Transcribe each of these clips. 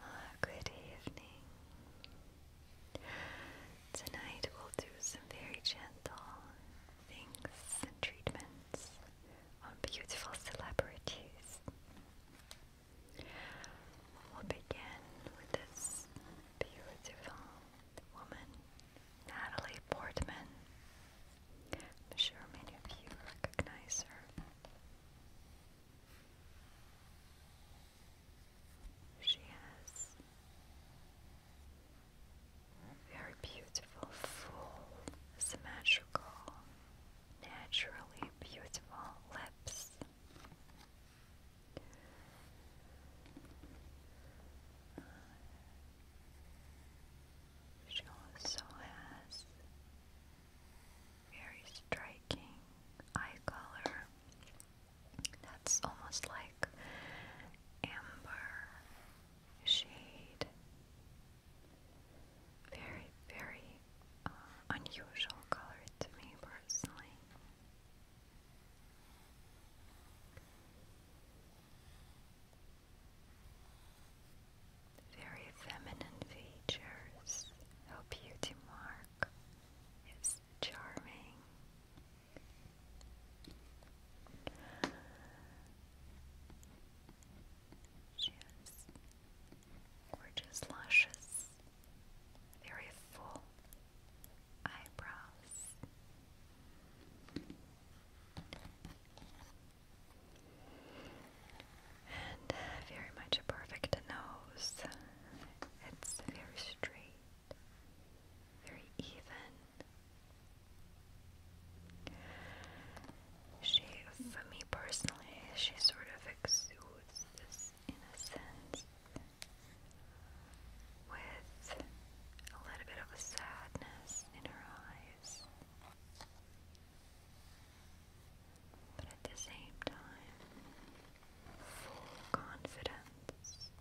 Ah, good evening. Tonight we'll do some very gentle things and treatments on beautiful celebrities. We'll begin with this beautiful woman, Natalie Portman. I'm sure many of you recognize her. She has very beautiful, full, symmetrical, naturally beautiful lips. She also has very striking eye color that's almost like amber shade. Very, very uh, unusual color to me personally. Very feminine features. Her beauty mark is charming gorgeous lashes, very full eyebrows. And uh, very much a perfect nose. It's very straight, very even. She, for me personally, she sort of exudes this innocence with a little bit of a sadness in her eyes. But at the same time, full confidence.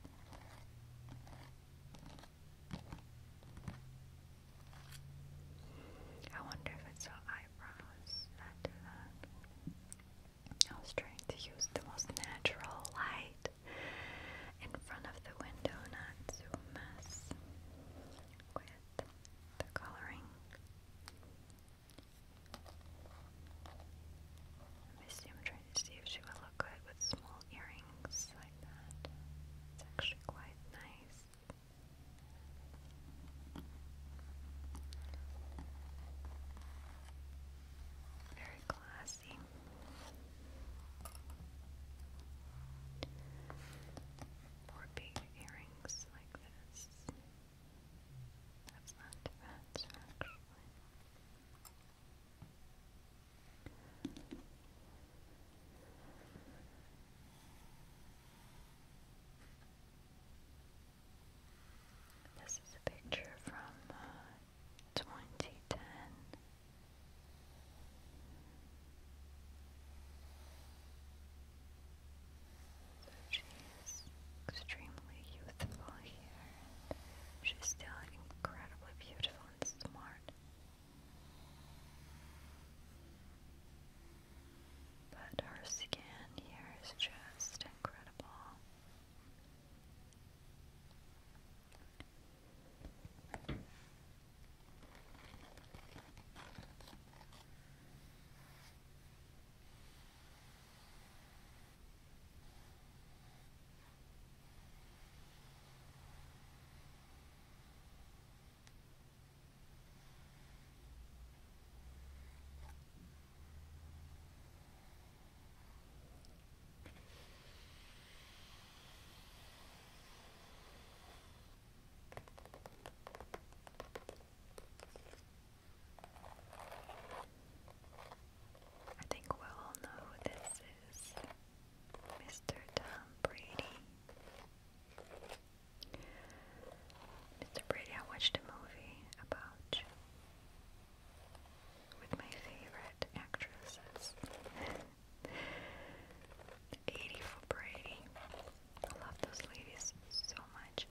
I wonder if it's her eyebrows that that. I was trying to use the most natural light in front of the window, not to mess with the coloring. Let see, and see if she would look good with small earrings like that. It's actually quite nice. Very classy. More big earrings like this. That's not this is a picture from uh, 2010. So she is extremely youthful here. She's still incredibly beautiful and smart. But her skin here is just incredible. I think we all know who this is. Mr. Tom Brady. Mr. Brady, I watched a movie about with my favorite actresses. 80 for Brady. I love those ladies so much.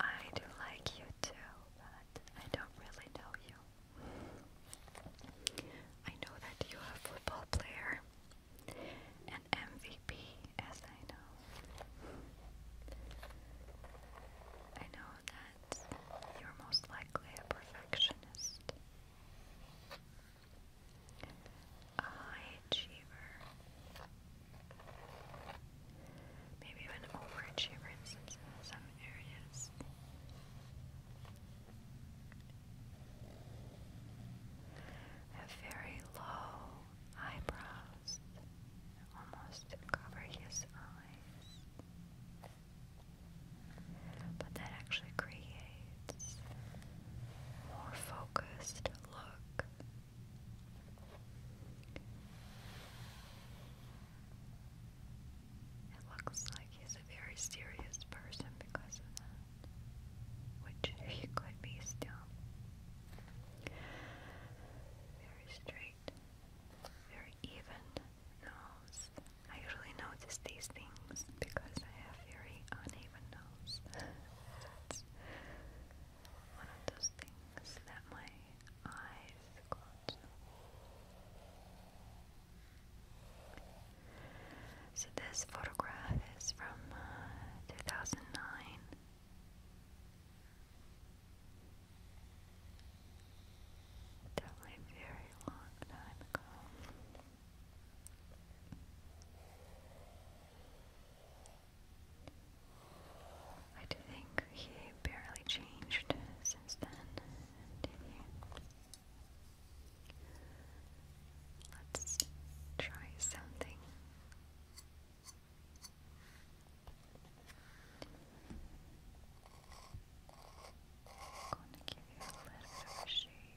I do like you too, but I don't really know you. I know that you are a football player, an MVP, as I know. I know that you're most likely a perfectionist, a high achiever, maybe even overachiever in some areas. Have very low eyebrows almost to cover his eyes. But that actually creates more focused look. It looks like he's a very serious person because of that, which he could be still. Very straight, very even nose. I usually notice these things because I have very uneven nose. it's one of those things that my eyes so this photograph is from uh, 2009. Definitely very long time ago. I think he barely changed since then, did he? Let's try something. I'm gonna give you a little shave.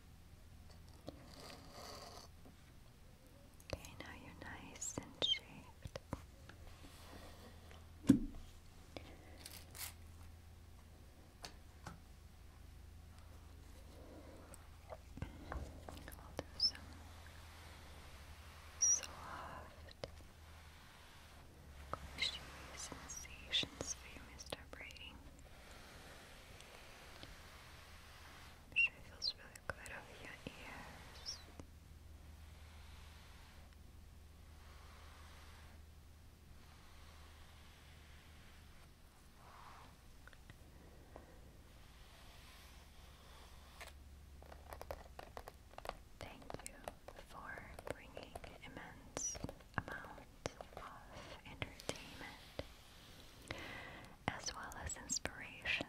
Okay, now you're nice and shaped. I'll do some soft squishy sensations for you, Mr. Brady. I'm sure it your ears. Thank you for bringing immense amount of entertainment as well as inspiration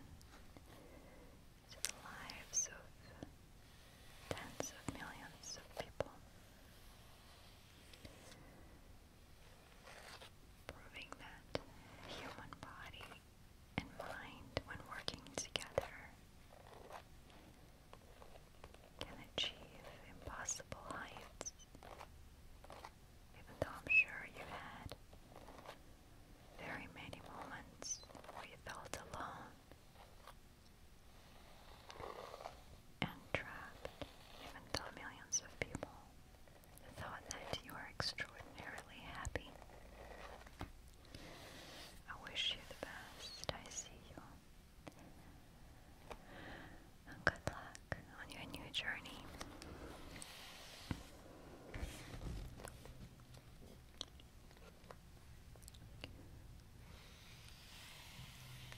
to the lives of tens of millions of people, proving that human body and mind, when working together, can achieve impossible heights even though I'm sure you had very many moments where you felt alone and trapped, even though millions of people thought that you were extraordinarily happy. I wish you the best. I see you good luck on your new journey.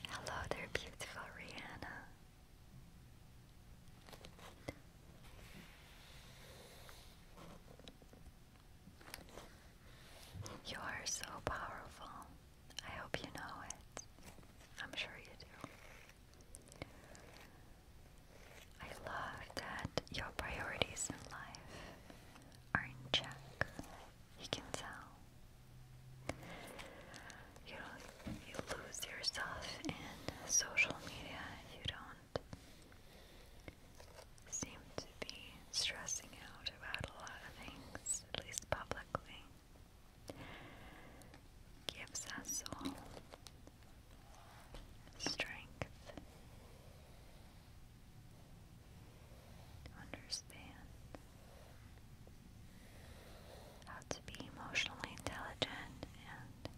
Hello there, beautiful Rihanna. You are so powerful. I hope you know it. I'm sure you do. I love that your priorities in life are in check. You can tell. You you lose yourself in social media. You don't seem to be stressing out about a lot of things, at least publicly gives us all strength understand how to be emotionally intelligent and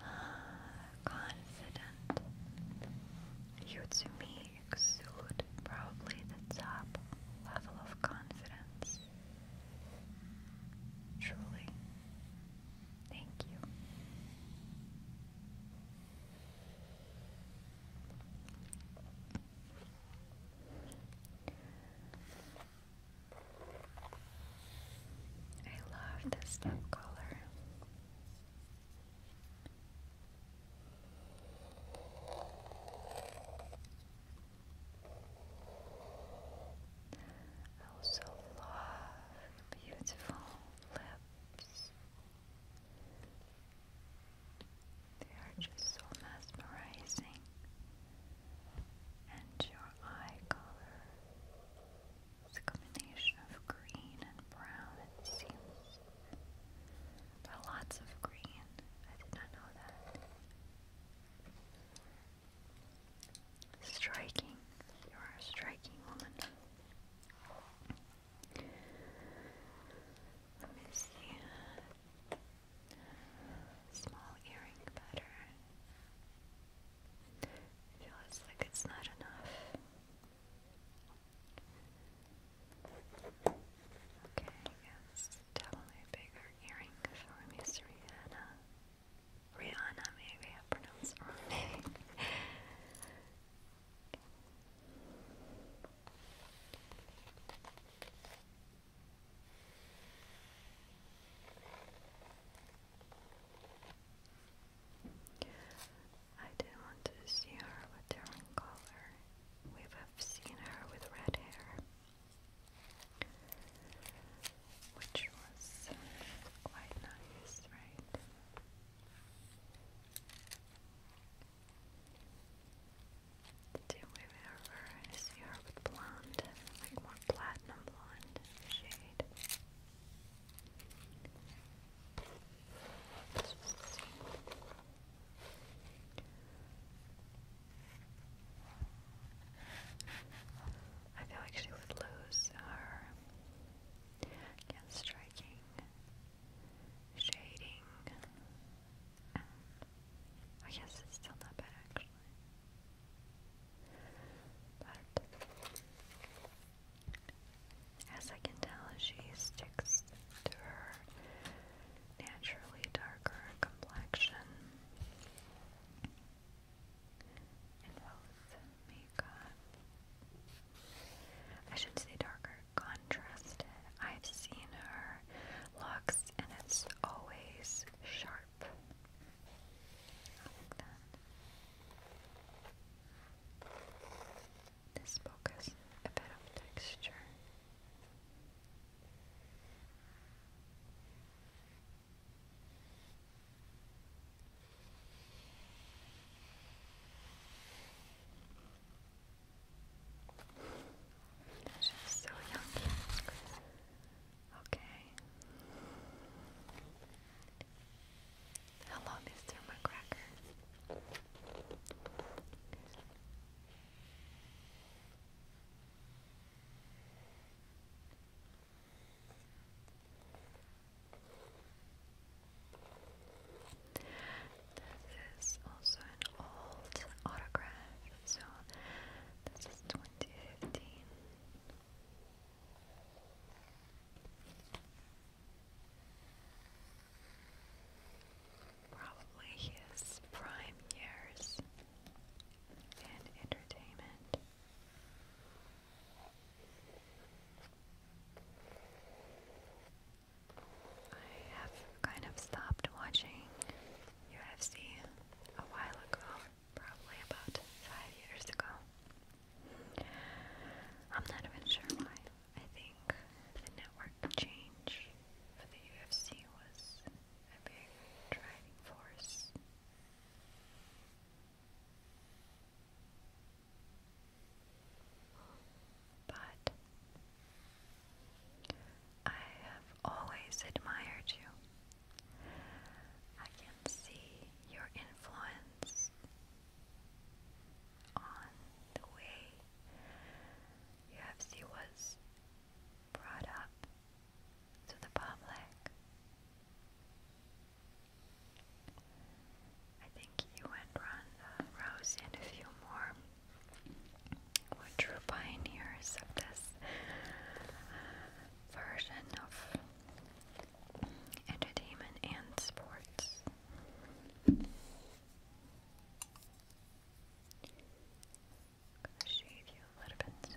uh, confident. Yutsumi exude probably the top level of confidence. Truly. Thank you. I love this lip color. I also love beautiful lips. They are just so mesmerizing. And your eye color. It's a combination of green and brown. It seems lots of green. I did not know that. Striking. You are a striking woman. Let me see. Small earring pattern. I like it's not enough. Okay, yes, definitely bigger earring for Miss Rihanna. Rihanna, maybe I pronounced wrong name. I didn't want to see her with different color. We have seen her with red hair, which was quite nice, right? Did we ever see her with blonde, like more platinum blonde shade? Let's I feel like she would lose her against striking, shading, I guess it's still not bad actually. But as I can tell, she sticks to her naturally darker complexion in both makeup. I should say darker contrasted. I've seen her looks and it's always sharp. This book has a bit of texture. She's so young. Okay. Hello, Mr. McCracker. This is also an old autograph, so this is 2015. Probably his prime years and entertainment. I have kind of stopped watching UFC a while ago, probably about five years ago. I'm not even sure why. I think the network change for the UFC was a big driving force. But I have always admired you. I can see your influence on the way UFC was brought up to the public. I think you and Ronda uh, Rousey and a few more true pioneers of this version of entertainment and sports. Gonna shade you a little bit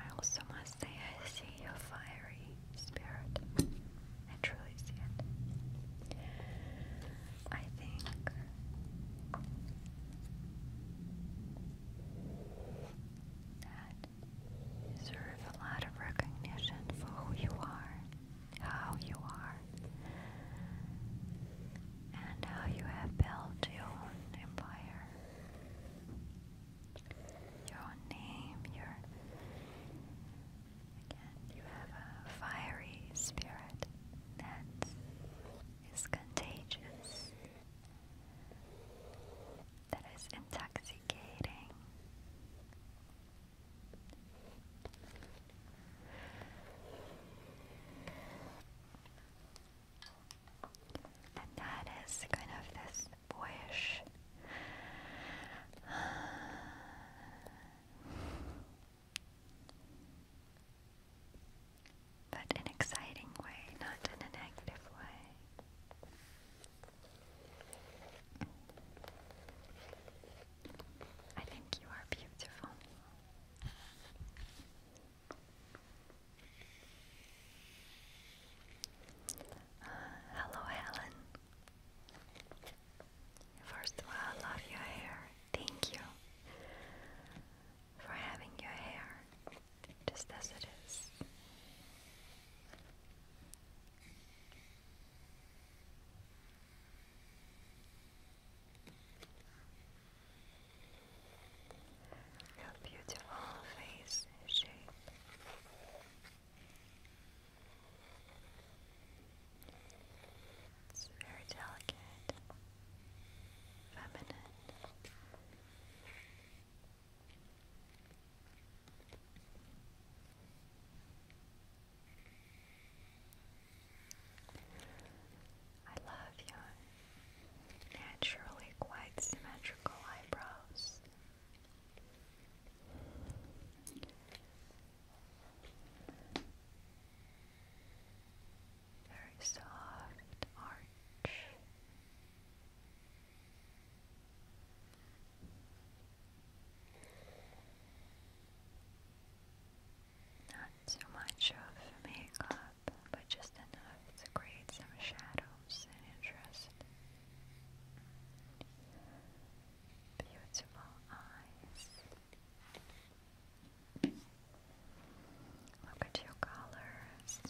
I also must say, I see a fiery spirit. I truly see it. I think. That you deserve a lot of recognition for who you are, how you are, and how you have built your own empire, your name, your again, you have a fiery spirit that is contagious, that is intoxicating. And that is kind of this boyish but an exciting way, not in a negative way. I think you are beautiful. Uh, hello, Helen. First of all, I love your hair. Thank you for having your hair just as it is. Your beautiful face shape. It's very delicate, feminine. I love your naturally quite symmetrical eyebrows. Very soft arch. Not too much of makeup up, but just enough to create some shadows and interest. Beautiful eyes. Look at your colors.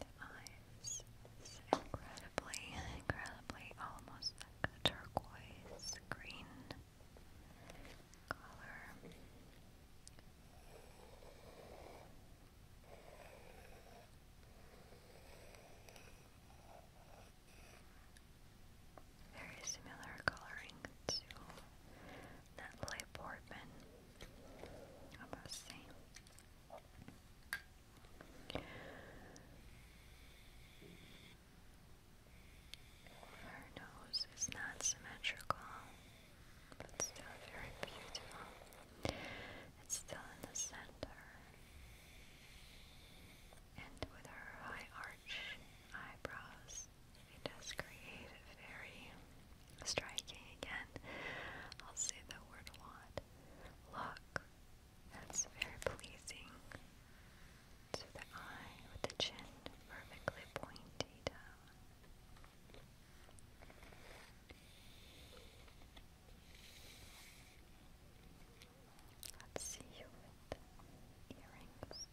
The eyes incredibly, incredibly almost like a turquoise green color. Very similar coloring to Natalie Portman. About the same. All her nose is not symmetrical, but still very beautiful. It's still in the center, and with her high arch eyebrows, it does create a very Striking again. I'll say the word wad. Look. That's very pleasing. To the eye with the chin perfectly pointy down. Let's see you with earrings.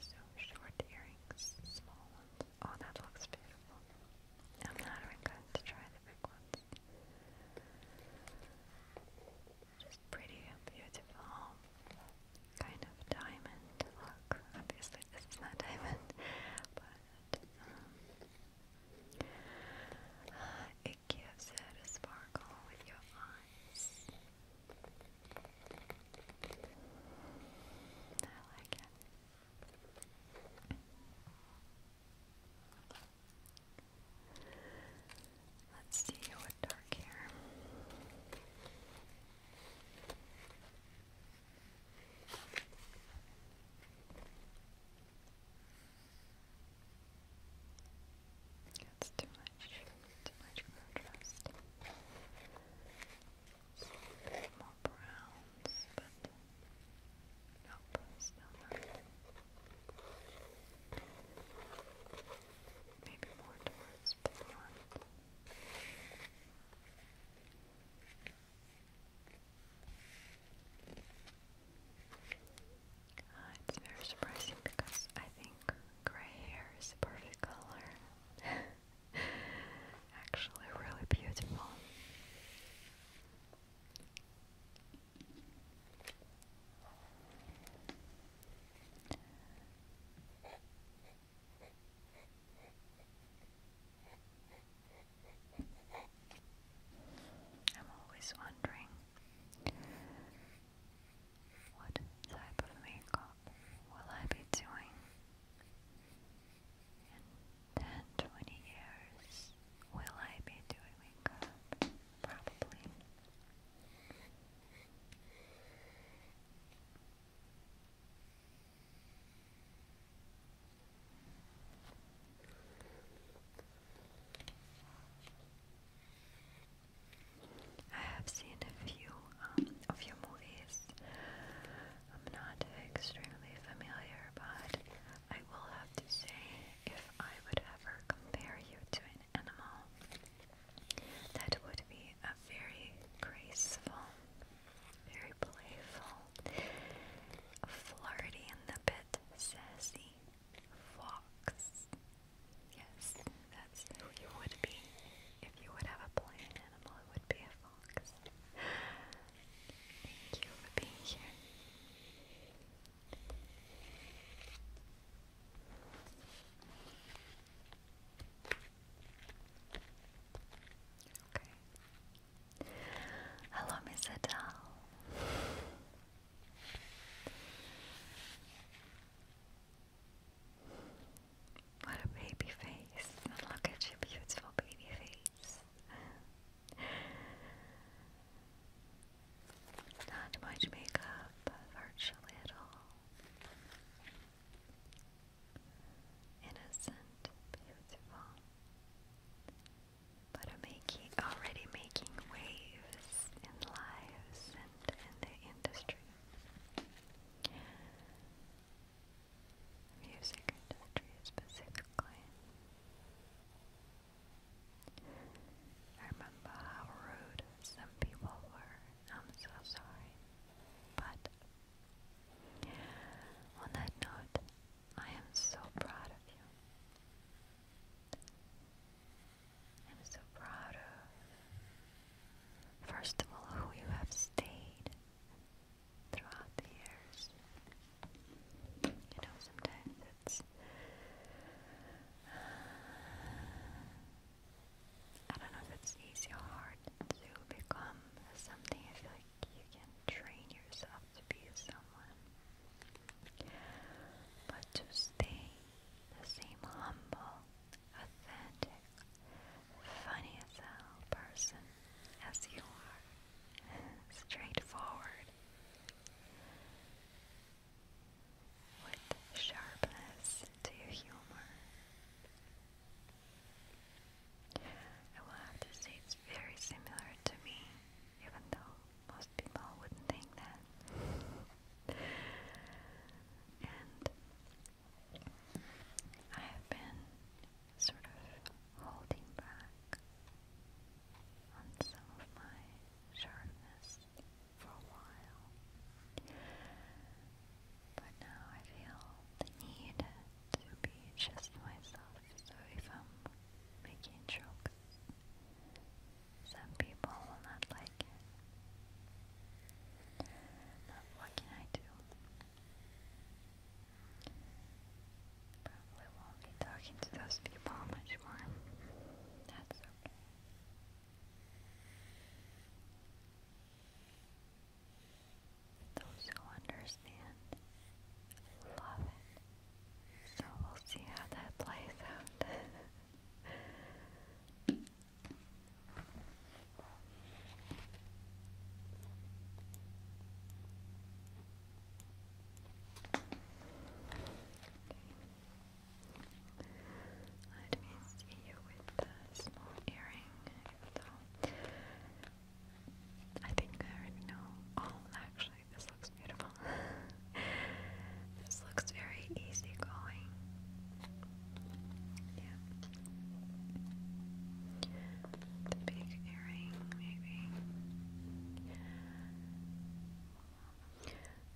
So short earrings, small ones. Oh, that looks beautiful. I'm not even going to try the big ones. Just pretty beautiful. Kind of diamond look. Obviously, this is not diamond, but um, it gives it a sparkle with your eyes. I like Let's see what too much, too much contrast more browns, but nope, still Maybe more towards blonde. Uh, it's very surprising because I think gray hair is perfect color. Actually, really beautiful. I'm always wondering what type of makeup will I be doing in 10 years? Will I be doing makeup? Probably. I have seen a few of um, your movies. I'm not extremely familiar, but I will have to say if I would ever compare you to an animal, that would be a very graceful, very playful, flirty and the bit sassy fox. Yes, that's who you would be. If you would have a plan animal, it would be a fox. Thank you for being here. Okay. Hello, Miss Adele. What a baby face. look at your beautiful baby face. Not much makeup, virtually at all. Innocent, beautiful. But making already making waves in lives and in the industry. Music industry specifically. I remember how rude some people were. I'm so sorry. But on that note, I am so proud of you. I'm so proud of First of all, who you have stayed throughout the years. You know, sometimes it's. Uh, I don't know if it's easy or hard to become something. I feel like you can train yourself to be someone. But to stay the same humble, authentic, funny as hell person as you are. Straightforward. With sharpness to humor. I will have to say it's very similar to me, even though most people wouldn't think that. and I have been sort of holding back on some of my sharpness for a while, but now I feel the need to be just myself. So if I'm making jokes, some people will not like it. But what can I do? Probably won't be talking to those people much more. That's okay. Those who understand love it. So we'll see how that plays out. Let me see you with the small earring, I think I already know. Oh, actually, this looks beautiful. This looks very easygoing. Yeah. The big earring, maybe.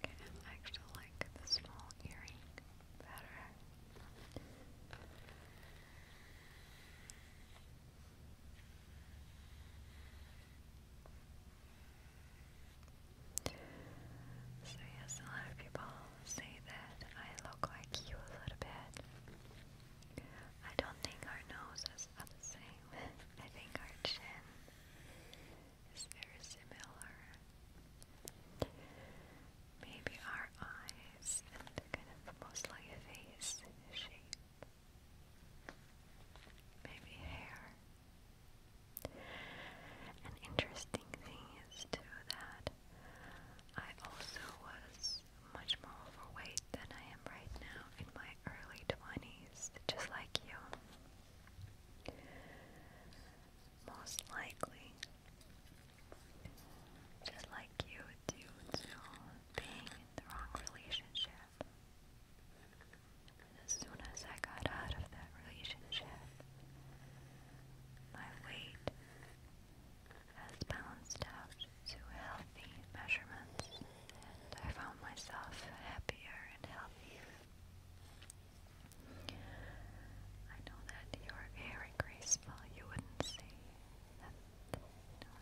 I actually like the small earring better. So yes, a lot of people say that I look like you a little bit. I don't think our noses are the same. I think our chin is very similar. Maybe our eyes and the kind of mostly face shape. Maybe hair. An interesting thing is too that I also was much more overweight than I am right now in my early 20s, just like you. Most likely, just like you, due to being in the wrong relationship. And as soon as I got out of that relationship, my weight has balanced out to healthy measurements, and I found myself happier and healthier. I know that you are very graceful. You wouldn't say that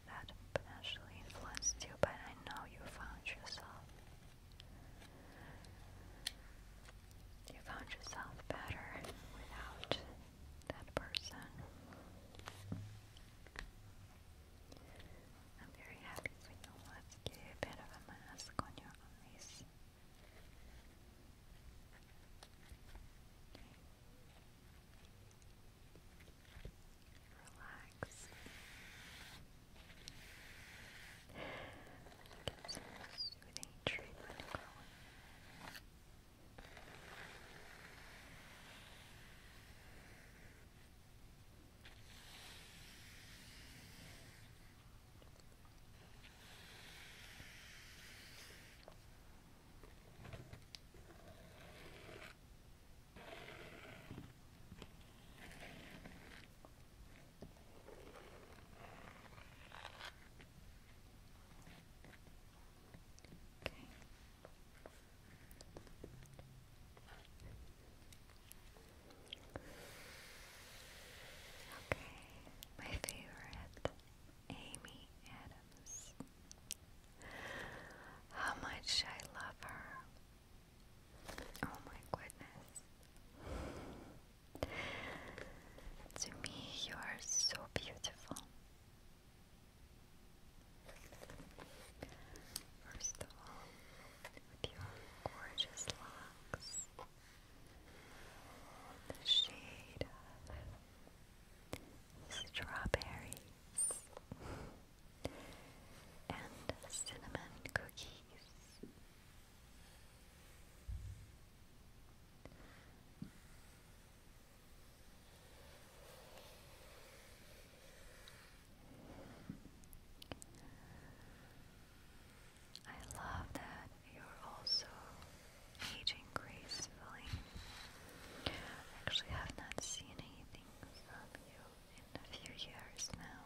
that potentially influenced you, but I know you found yourself you found yourself better without that person. I'm very happy for you. Let's give a bit of a mask on your eyes. Relax. Get with any treatment going. Okay. Okay, my favorite, Amy Adams. How much I love her. Oh my goodness. To me, you are so beautiful. First of all, with your gorgeous locks, the shade of strawberries and cinnamon cookies. I love that you're also aging gracefully. I have not seen anything from you in a few years now.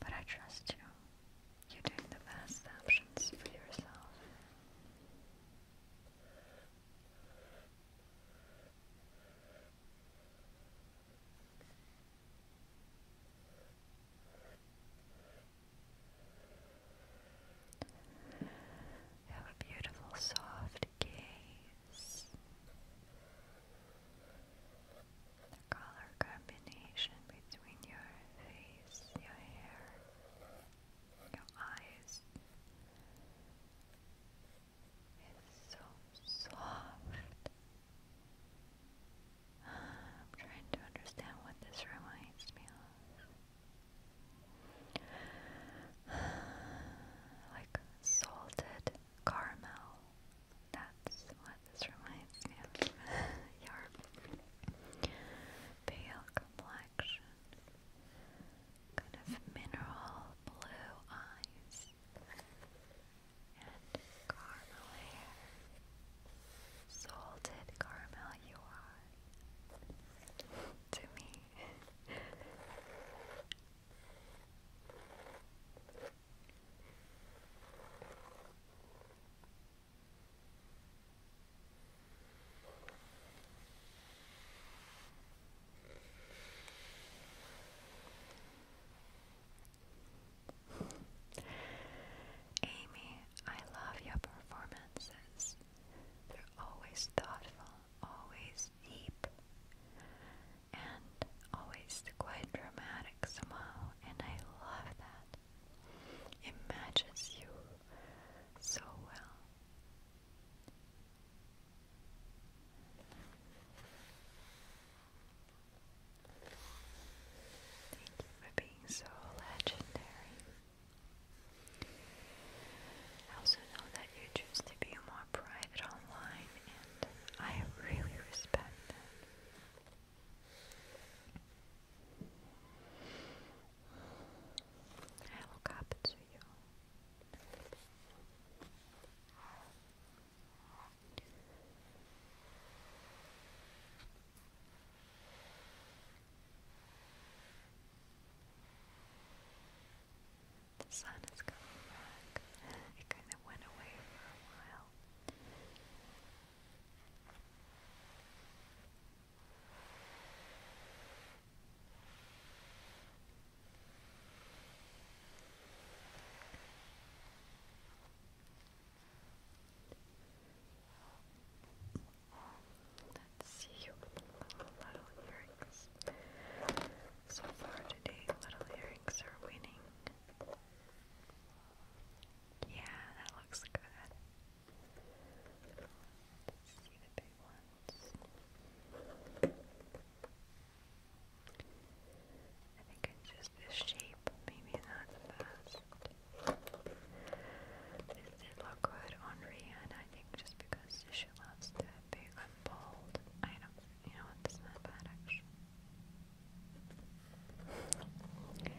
But I trust you. You're doing the best options for yourself. You have a beautiful, soft gaze the color combination between your face, your hair, your eyes is so soft. I'm trying to understand what this reminds me of. Like salted caramel that's what this reminds me of. Your pale complexion, kind of mineral blue eyes, and caramel Salted caramel, you are. to me. Amy, I love your performances. They're always thoughtful, always deep and always quite dramatic somehow, and I love that. It matches you so well. Thank you for being so legendary. I also know that you choose to be more private online, and I really respect that. I look up to you. The sun is coming back. Let's see Little Earrings. So far today, Little Earrings are winning. Yeah, that looks good. see the big ones. I think it's just the shape, maybe not the best. look good on Rihanna, I think just because she loves the big bold items. You know what? That's not bad actually. Okay.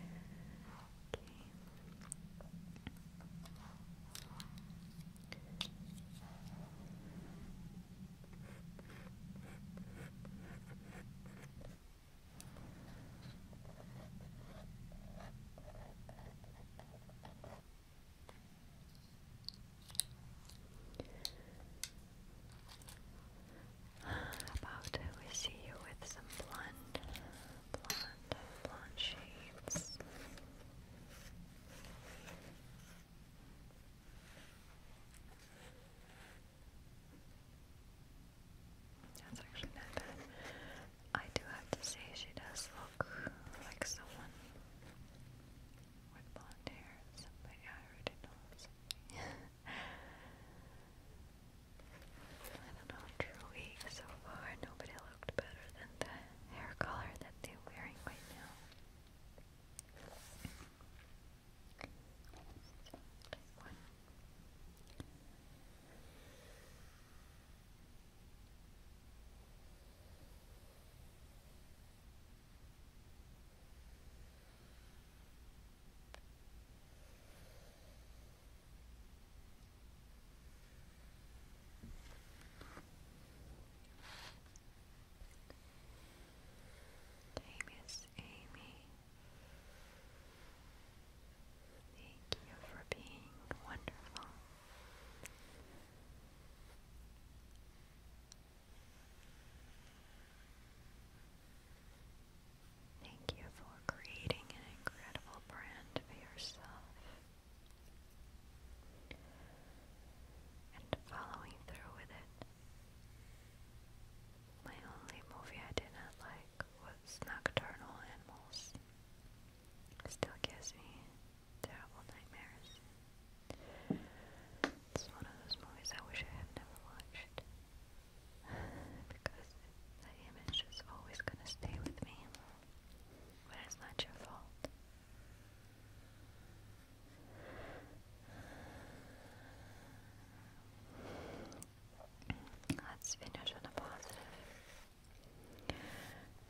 How about we see you with some blonde, blonde, blonde shades? That's actually not bad. I do have to say she does look like someone with blonde hair. Somebody I already knows. I don't know, true so far. Nobody looked better than the hair color that they're wearing right now. Amos, Amy, thank you for being wonderful. Thank you for creating an incredible brand for yourself and following through with it. My only movie I did not like was Nocturnal Animals. still gives me terrible nightmares. It's one of those movies I wish I had never watched because the image is always going to stay with me when it's not your fault. Let's finish on a positive.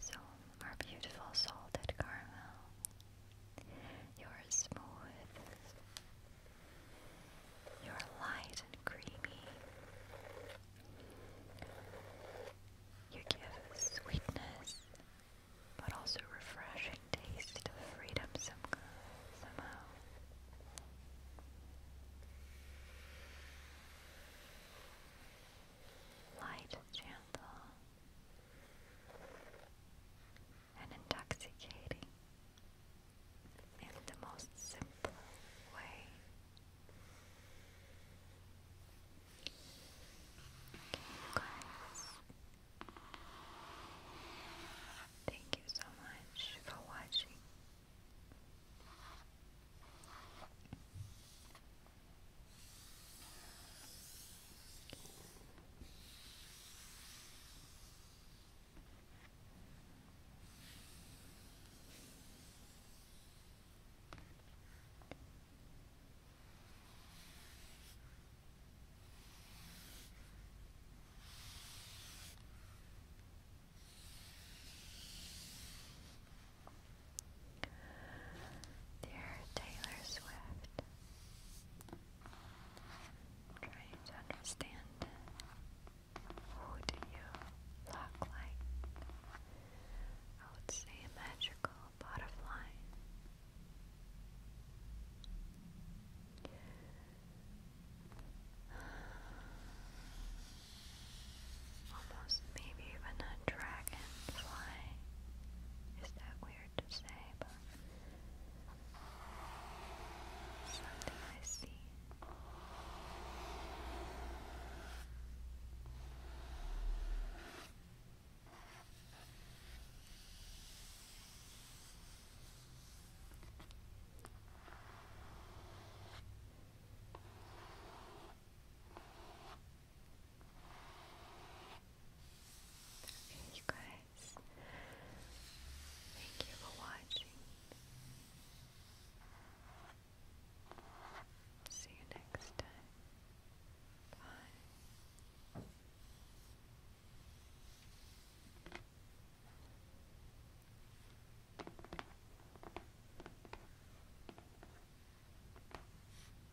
So, our beautiful salted caramel you're smooth. You're light and creamy. You give sweetness, but also refreshing taste of freedom some, somehow. Light gentle and intoxicating in the most simple way. guys. Thank you so much for watching. Dear Taylor Swift, Trying to understand who do you look like? I would say a magical butterfly. Almost maybe even a dragonfly. Is that weird? to say, but something I see you guys. Thank you for watching. See you next time. Bye.